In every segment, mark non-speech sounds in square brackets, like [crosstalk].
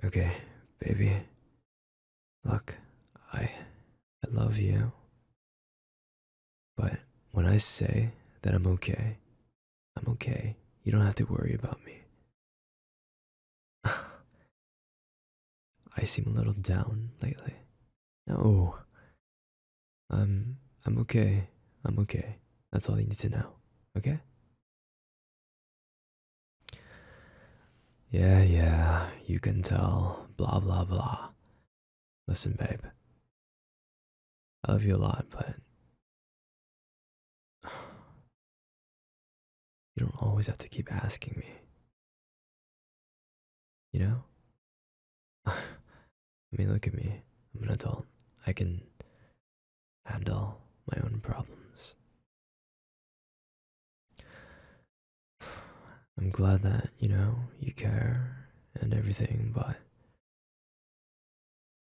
Okay, baby. Look, I I love you. But when I say that I'm okay, I'm okay. You don't have to worry about me. [sighs] I seem a little down lately. No. I'm I'm okay. I'm okay. That's all you need to know. Okay? Yeah, yeah, you can tell, blah, blah, blah. Listen, babe, I love you a lot, but [sighs] you don't always have to keep asking me. You know? [laughs] I mean, look at me. I'm an adult. I can handle my own problems. I'm glad that, you know, you care and everything, but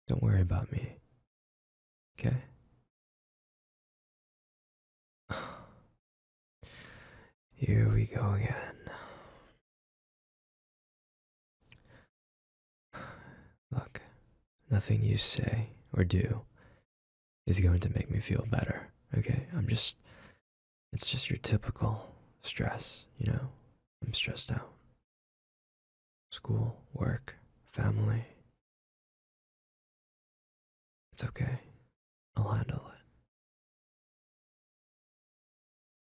don't worry about me. Okay? [sighs] Here we go again. Look, nothing you say or do is going to make me feel better, okay? I'm just, it's just your typical stress, you know? I'm stressed out. School, work, family. It's okay. I'll handle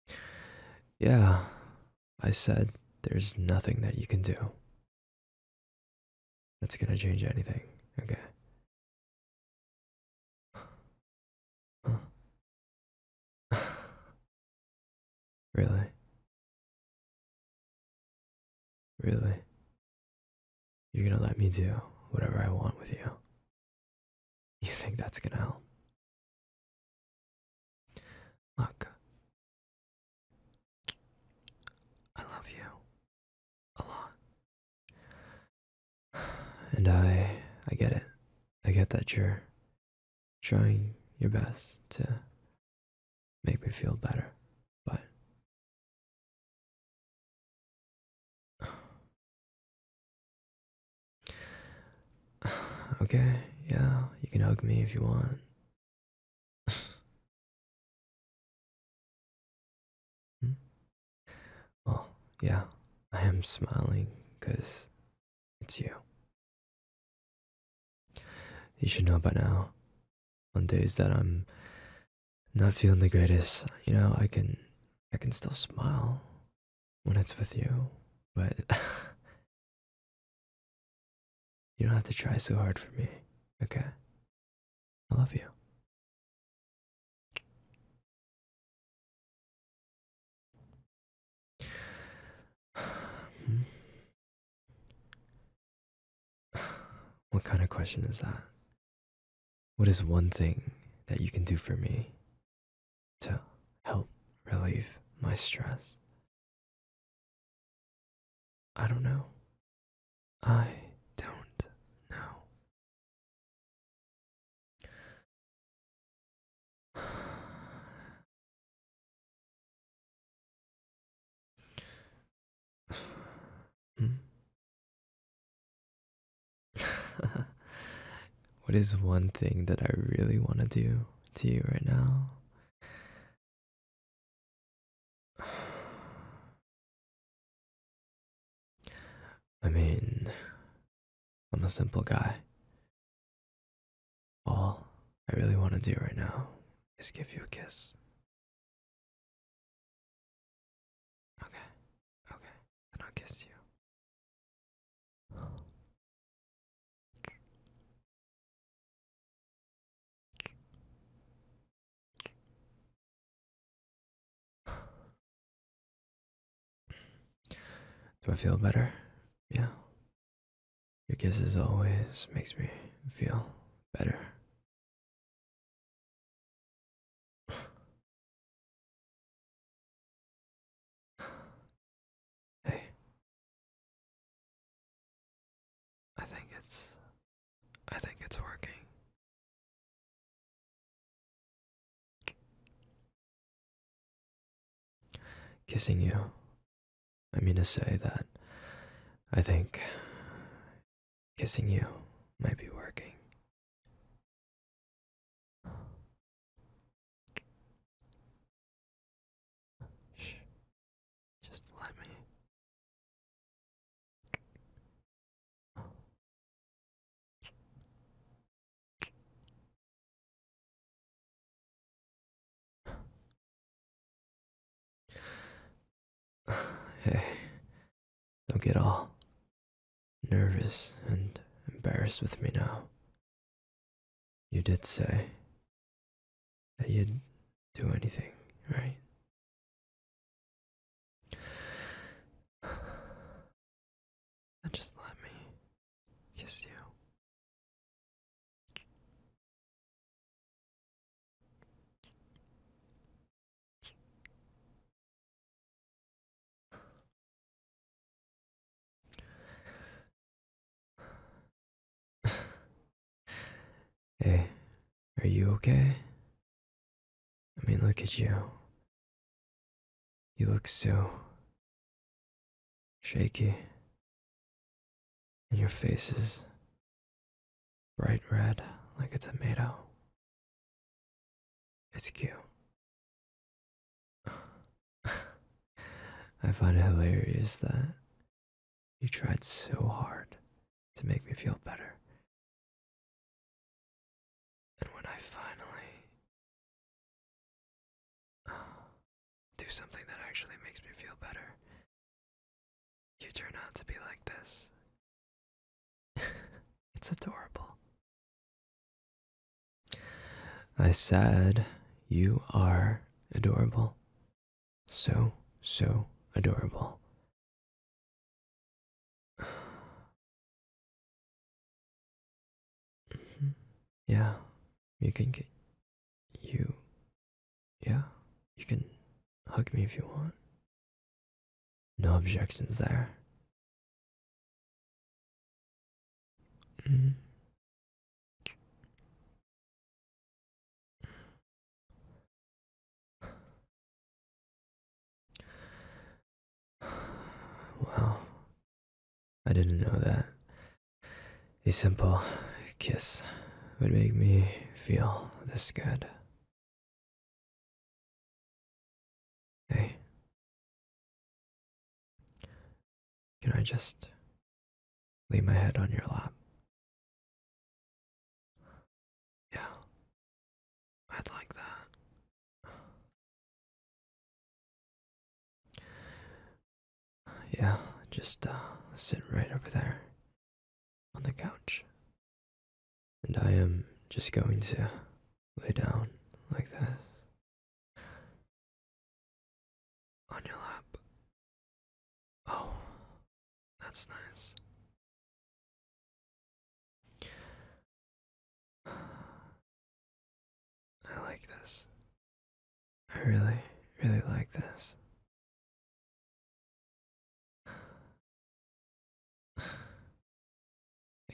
it. Yeah, I said, There's nothing that you can do that's gonna change anything, okay? [sighs] really? Really? You're gonna let me do whatever I want with you? You think that's gonna help? Look, I love you a lot, and I I get it. I get that you're trying your best to make me feel better, but [sighs] okay, yeah, you can hug me if you want. [laughs] Hmm? Well, yeah, I am smiling because it's you. You should know by now. On days that I'm not feeling the greatest, you know, I can I can still smile when it's with you, but [laughs] you don't have to try so hard for me, okay? I love you. [sighs] What kind of question is that? What is one thing that you can do for me to help relieve my stress. I don't know. I don't know. [sighs] hmm? [laughs] What is one thing that I really want to do to you right now? [sighs] I mean, I'm a simple guy. All I really want to do right now is give you a kiss. Okay, okay and I'll kiss you. Do I feel better? Yeah. Your kisses always makes me feel better. Hey. I think it's I think it's working. Kissing you. I mean to say that I think kissing you might be working. Shh. Just let me. [sighs] Hey, don't get all nervous and embarrassed with me now. You did say that you'd do anything, right? [sighs] just let me kiss you. [sighs] Hey, are you okay? I mean, look at you. You look so shaky. And your face is bright red like a tomato. It's cute. [sighs] I find it hilarious that you tried so hard to make me feel better. And when I finally [sighs] do something that actually makes me feel better, you turn out to be like this, [laughs] it's adorable. I said, You are adorable. So, so adorable. [sighs] yeah, you can get you. Yeah, you can hug me if you want. No objections there. Mm. [sighs] Well, I didn't know that. A simple kiss would make me feel this good. Hey. Can I just lay my head on your lap? Yeah. I'd like that. Yeah, just uh, sit right over there on the couch. And I am just going to lay down like this on your lap. Oh, that's nice. [sighs] I like this. I really, really like this. [sighs] I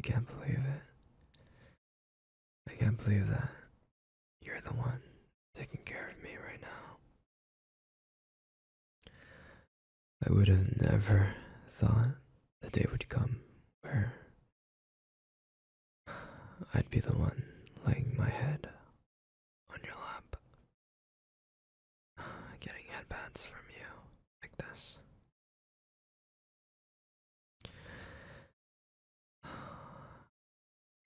can't believe it. I can't believe that you're the one taking care of me right now. I would have never thought the day would come where [sighs] I'd be the one laying my head on your lap. [sighs] getting headbands from you like this. [sighs]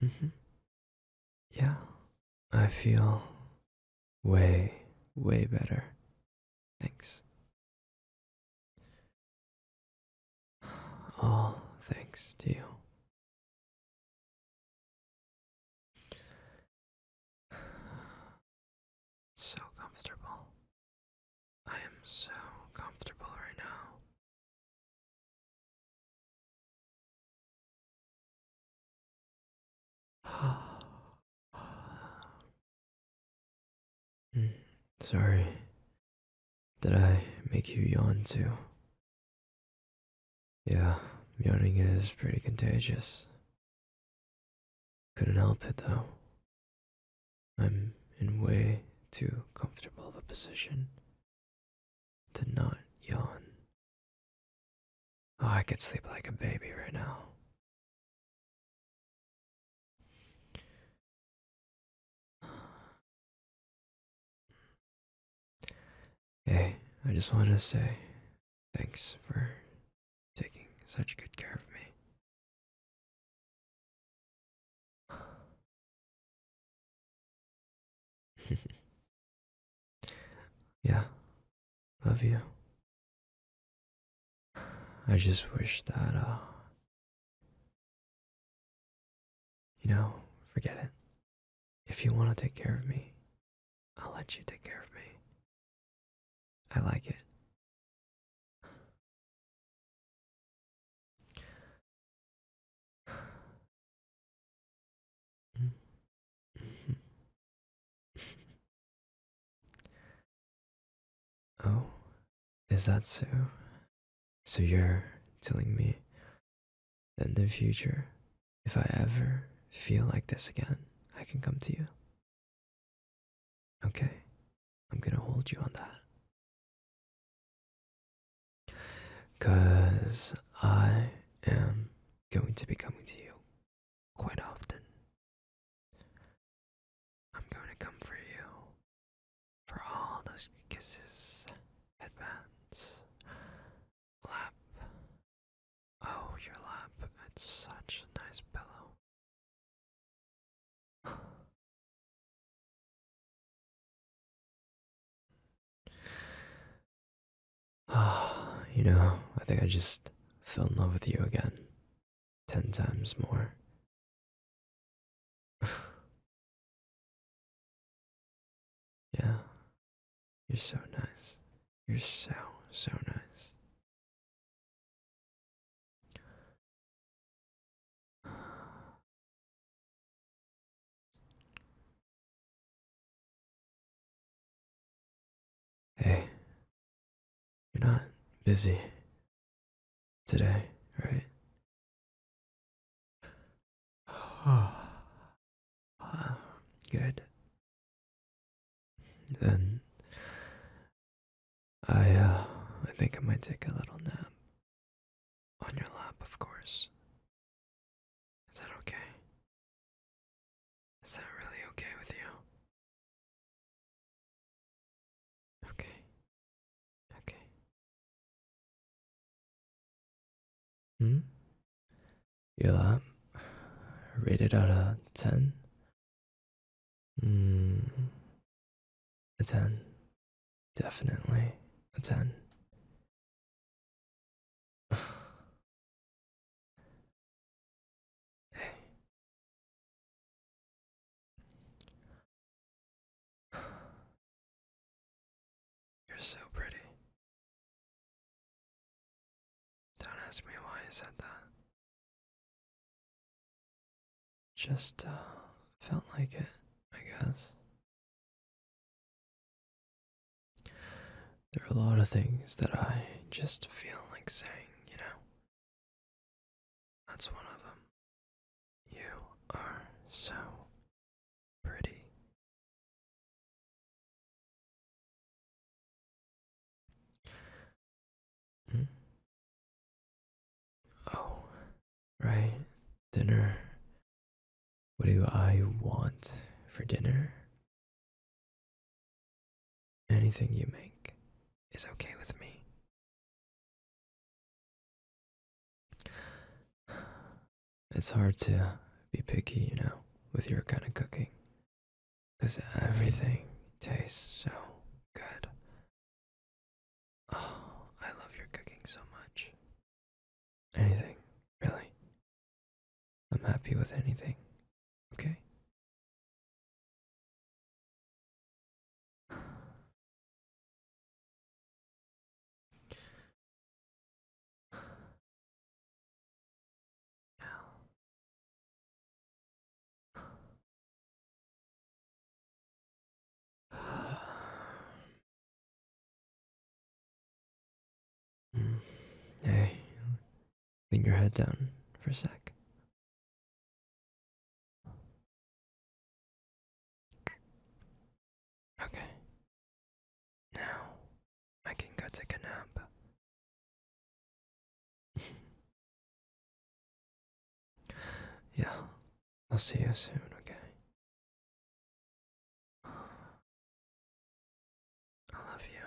Mm-hmm. Yeah, I feel way, way better. Thanks. [sighs] All thanks to you. [sighs] So comfortable. I am so comfortable right now. [sighs] Hmm. Sorry, did I make you yawn too? Yeah, yawning is pretty contagious. Couldn't help it though. I'm in way too comfortable of a position to not yawn. Oh, I could sleep like a baby right now. Hey, I just wanted to say thanks for taking such good care of me. [laughs] yeah, love you. I just wish that, uh, you know, forget it. If you want to take care of me, I'll let you take care of me. I like it. [laughs] oh, is that so? So you're telling me in the future, if I ever feel like this again, I can come to you. Okay, I'm gonna hold you on that. Cause I am going to be coming to you quite often. I'm going to come for you for all those kisses, headbands, lap. Oh, your lap. It's such a nice pillow. Ah, [sighs] you know, I think I just fell in love with you again. Ten times more. [sighs] [laughs] Yeah. You're so nice. You're so, so nice. Hey, you're not busy today, right? [sighs] Good. Then I uh, I think I might take a little nap. On your lap, of course. Is that okay? Is that really okay with you? Okay. Okay. Hmm? Your lab? Rated out of 10? Hmm. A 10. Definitely a 10. [sighs] hey. [sighs] You're so pretty. Don't ask me why I said that. Just uh, felt like it, I guess. There are a lot of things that I just feel like saying, you know. That's one of them. You are so pretty. Hmm? Oh, right. Dinner. What do I want for dinner? Anything you make is okay with me. It's hard to be picky, you know, with your kind of cooking. Because everything tastes so good. Oh, I love your cooking so much. Anything, really. I'm happy with anything, okay? [sighs] Hey, lean your head down for a sec. Okay. Now I can go take a nap. yeah, I'll see you soon, okay? [sighs] I love you.